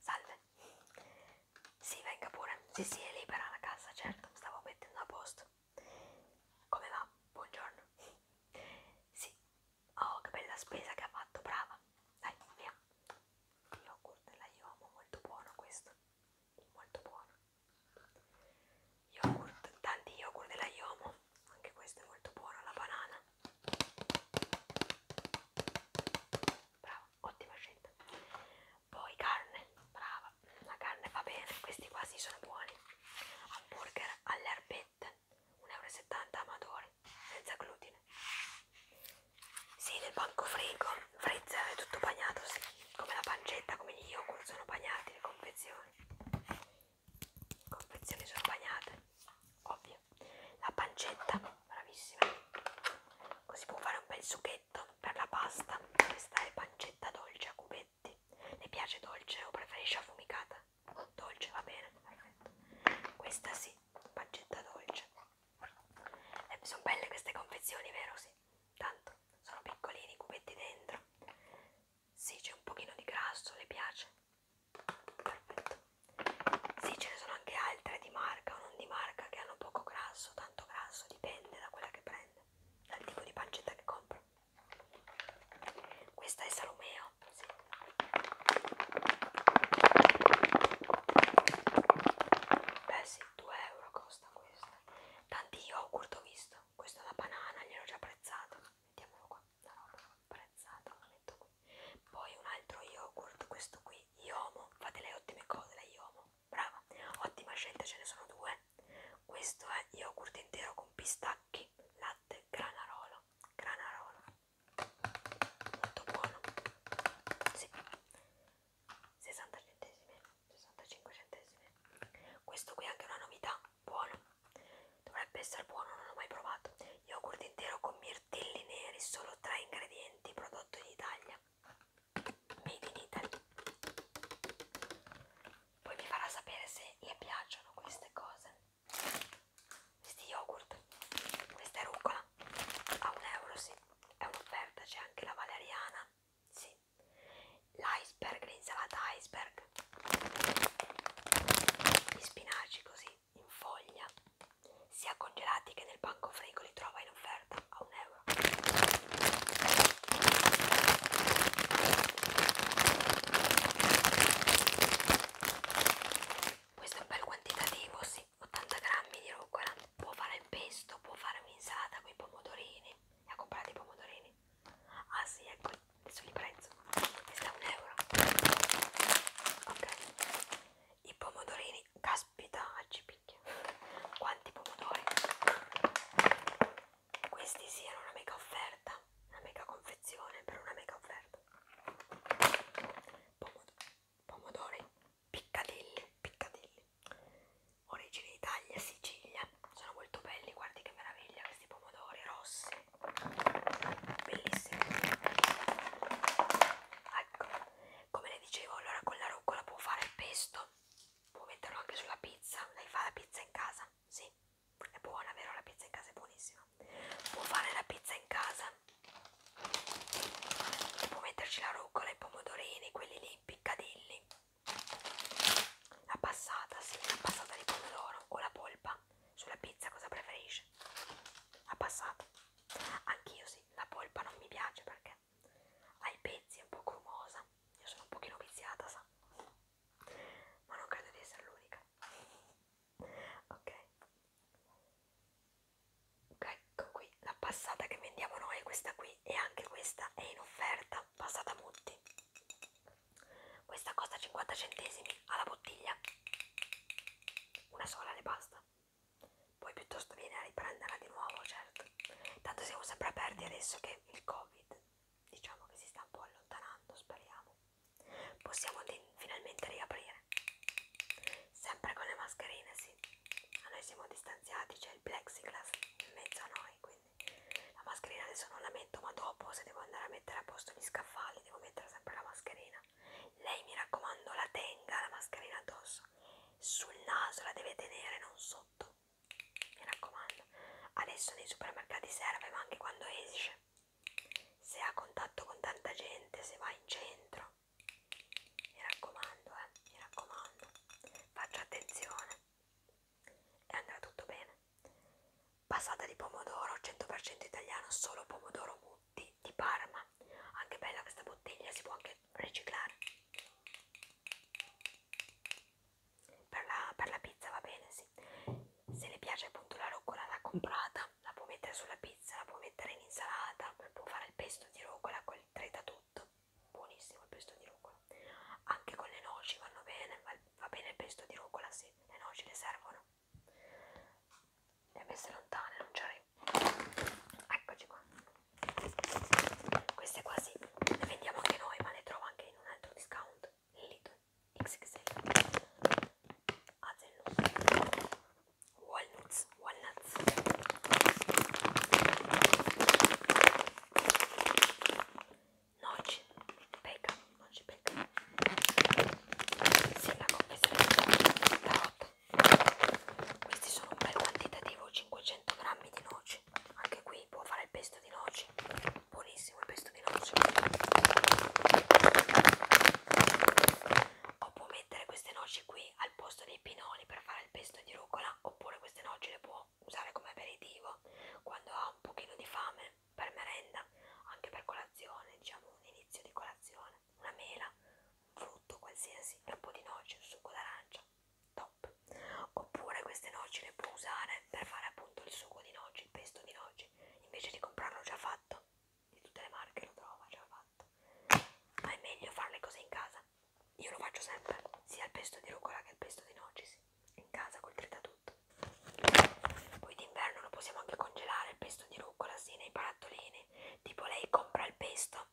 Salve. Sì, venga pure. Sì, sì, è libera la casa, certo. Stavo mettendo a posto. Come va? Buongiorno. Sì. Oh, che bella spesa che ha fatto, brava. Dai, via. Yogurt della Yomo, molto buono questo. Molto buono. Yogurt, tanti yogurt della Yomo anche questa è molto buona la banana brava ottima scelta poi carne brava la carne va bene questi qua si sì, sono buoni hamburger alle erbette 1,70€ amatore senza glutine sì nel banco frigo freezer è tutto bagnato sì. come la pancetta come gli yogurt sono bagnati le confezioni confezioni sono bagnate ovvio la pancetta bravissima così può fare un bel succhetto per la pasta questa è pancetta dolce a cubetti le piace dolce o preferisce affumicata dolce va bene perfetto questa sì pancetta dolce eh, sono belle queste confezioni vero sì tanto sono piccolini i cubetti dentro sì, c'è un pochino di grasso, le piace? Perfetto. Sì, ce ne sono anche altre di marca o non di marca che hanno poco grasso, tanto grasso, dipende da quella che prende, dal tipo di pancetta che compra. Questa è Salomeo. Sì. Beh sì, 2 euro costa questa. Tanti yogurt ho visto. Questa è una banana, gliel'ho già apprezzato mettiamolo qua, no, no, no, prezzato, lo metto qui. Poi un altro yogurt, questo qui, Iomo, fate le ottime cose la Iomo, brava, ottima scelta, ce ne sono due. Questo è yogurt intero con pistacchi, latte, granarolo, granarolo, molto buono, sì. 60 centesimi, 65 centesimi. Questo qui è anche una novità, buono dovrebbe essere buono non l'ho mai provato yogurt intero con mirtilli neri solo tre ingredienti prodotto in Italia made in Italy poi mi farà sapere se le piacciono queste cose questi yogurt questa è rucola a un euro sì è un'offerta c'è anche la valeriana sì l'iceberg, l'insalata iceberg, gli spinaci così in foglia, sia congelati che nel banco frigo li trova in offerta a un euro. Questo è un bel quantitativo, sì, 80 grammi di rucola, eh. può fare il pesto, può fare un'insalata con i pomodorini, ne ha comprati i pomodorini, Ah sì, ecco, adesso li prezzo. Questa è un euro. Ok. I pomodorini, caspita, ci picchia. Quanti pomodori. Questi sì, erano una mega offerta. Una mega confezione per una mega offerta. Pomodori, pomodori, piccadilli, piccadilli origini Italia, Sicilia, sono molto belli, guardi che meraviglia questi pomodori rossi, bellissimi. Ecco, come le dicevo, allora con la rucola può fare il pesto, può metterlo anche sulla pizza, lei fa la pizza in casa, sì, è buona, vero? La pizza in casa è buonissima. Può fare la pizza in casa, può metterci la rucola, i pomodorini, quelli lì, i piccadilli la passata, sì, la passata di pomodoro o la polpa. Sulla pizza cosa preferisci? La passata. Anch'io sì, la polpa non mi piace perché ha i pezzi, è un po' grumosa. Io sono un pochino viziata, sa. Ma non credo di essere l'unica. Ok ecco qui la passata che vendiamo noi è questa qui e anche questa è in offerta passata Mutti questa costa 50 centesimi alla bottiglia una sola ne basta poi piuttosto viene a riprenderla di nuovo certo tanto siamo sempre aperti adesso che il covid diciamo che si sta un po' allontanando speriamo possiamo finalmente riaprire sempre con le mascherine sì anzi a noi siamo distanziati c'è il plexiglass in mezzo a noi quindi la mascherina adesso non la metto ma dopo se devo andare a mettere a posto gli scaffali devo mettere sempre la mascherina lei mi raccomando la tenga la mascherina addosso sul naso la deve tenere non sotto mi raccomando adesso nei supermercati serve ma anche quando esce se ha contatto con tanta gente se va in centro mi raccomando, eh, mi raccomando. Faccia attenzione e andrà tutto bene. Passata di pomodoro 100% italiano, solo pomodoro mutti di Parma. Anche bella questa bottiglia, si può anche riciclare. Per la, per la pizza va bene, sì. Se le piace appunto la roccolata comprata, la può mettere sulla pizza pizza, la può mettere in insalata, può fare il pesto di rucola col treta tutto, buonissimo il pesto di rucola. Anche con le noci vanno bene, va bene il pesto di rucola, sì, le noci le servono. Le ha messe lontane, non c'è. Eccoci qua. Queste qua sì, le vendiamo anche noi, ma le trovo anche in un altro discount, Lidl XXL. Azello walnuts, walnuts. Noci, peca, noci, peca. Sindaco, pesante, carota. Questi sono un bel quantitativo, 500 grammi di noci. Anche qui può fare il pesto di noci. Buonissimo il pesto di noci o può mettere queste noci qui al posto dei pinoli per fare il pesto di rucola oppure queste noci le può usare come aperitivo quando ha un pochino di fame per merenda anche per colazione diciamo un inizio di colazione una mela un frutto qualsiasi e un po' di noci un succo d'arancia top oppure queste noci le può usare per fare appunto il succo di noci il pesto di noci invece di comprarlo già fatto di tutte le marche lo trovo già fatto ma è meglio fare le cose in casa io lo faccio sempre sia il pesto di rucola che il pesto di nocisi in casa col tritatutto poi d'inverno lo possiamo anche congelare il pesto di rucola sì nei barattolini tipo lei compra il pesto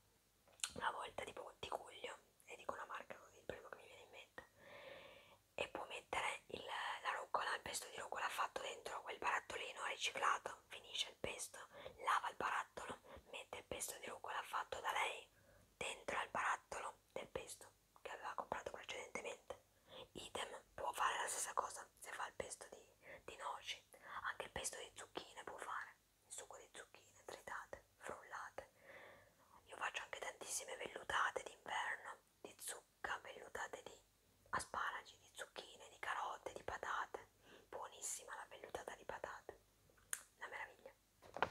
una volta tipo di cuglio e dico una marca così il primo che mi viene in mente e può mettere il, la rucola il pesto di rucola fatto dentro quel barattolino riciclato pesto, finisce il pesto, lava il barattolo, mette il pesto di rucola fatto da lei dentro al barattolo del pesto che aveva comprato precedentemente. Idem può fare la stessa cosa se fa il pesto di, di noci, anche il pesto di zucchine può fare, il succo di zucchine tritate, frullate. Io faccio anche tantissime vellutate d'inverno di zucca vellutate di asparagi, di zucchine, di carote, di patate. Buonissima la vellutata di patate. Una meraviglia.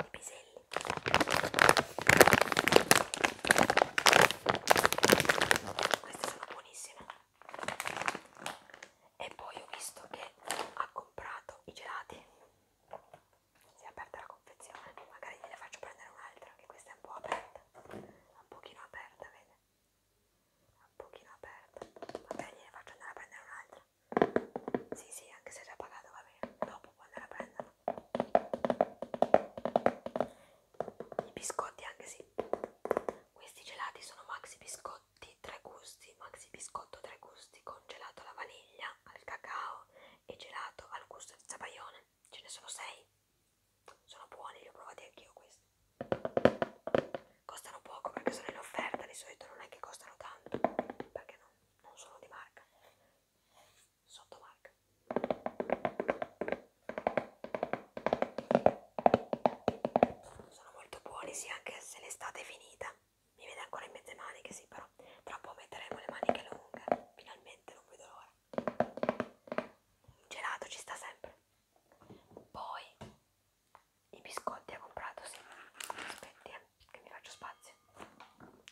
I piselli. Queste sono buonissime. E poi ho visto che ha comprato i gelati. Si è aperta la confezione. Magari gliela faccio prendere un'altra, che questa è un po' aperta. Un pochino aperta, vede? un pochino aperta vabbè gliene faccio andare a prendere un'altra sì sì anche se è già pagato va bene dopo può andare a prenderla i biscotti anche sì questi gelati sono maxi biscotti tre gusti maxi biscotto tre gusti con gelato alla vaniglia al cacao e gelato al gusto di zabaione ce ne sono sei sono buoni, li ho provati anch'io questi costano poco perché sono in offerta, di solito non è che costano tanto perché non, non sono di marca sotto marca sono molto buoni sì anche se l'estate è finita mi vede ancora in mezze maniche sì però tra un po' metteremo le maniche lunghe finalmente non vedo l'ora gelato ci sta sempre poi i biscotti ha comprato sì aspetti eh, che mi faccio spazio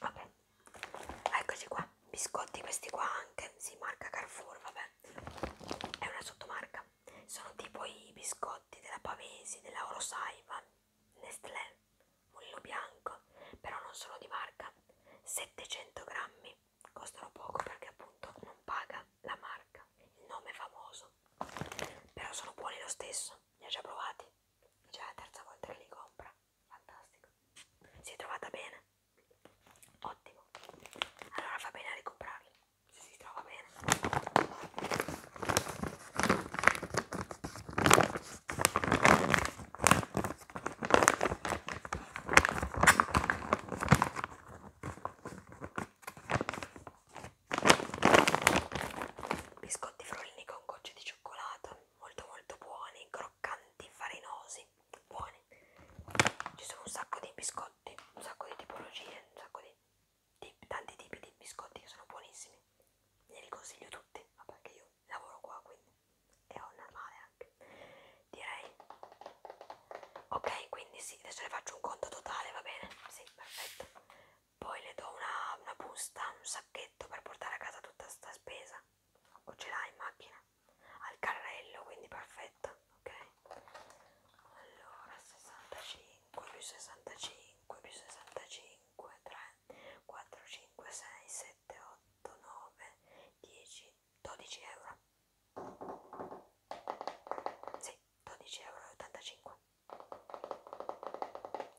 vabbè eccoci qua biscotti questi qua anche si sì, marca Carrefour vabbè è una sottomarca sono tipo i biscotti della Pavesi della Orosaiva Nestlé Mulino Bianco però non sono di marca 700 grammi costano poco perché appunto non paga la marca il nome è famoso però sono buoni lo stesso li ho già provati è già la terza volta che li compra fantastico si è trovata bene ottimo allora fa bene a ricomprarli se si trova bene Biscotti frollini con gocce di cioccolato, molto molto buoni, croccanti, farinosi, buoni. Ci sono un sacco di biscotti, un sacco di tipologie, un sacco di, di tanti tipi di biscotti che sono buonissimi. Ne li consiglio tutti, ma perché io lavoro qua quindi è normale anche direi ok quindi sì adesso le faccio un conto totale va bene sì perfetto poi le do una, una busta un sacchetto per portare a casa tutta sta spesa o ce l'ha in macchina al carrello quindi perfetto ok allora 65 più 65 più 65 3 4 5 6 7, 8, 9, 10, 12 euro. Sì, 12,85 euro.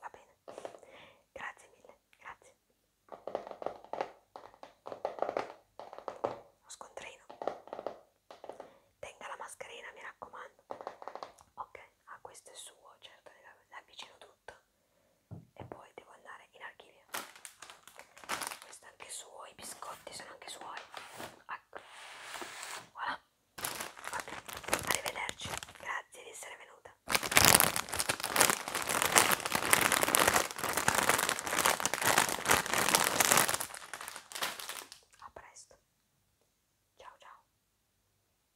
Va bene, grazie mille, grazie. Lo scontrino. Tenga la mascherina, mi raccomando. Ok, ah questo è suo, certo, le avvicino tutto e poi devo andare in archivio questo è anche suo, i biscotti sono anche suoi ecco voilà ok, arrivederci grazie di essere venuta a presto ciao ciao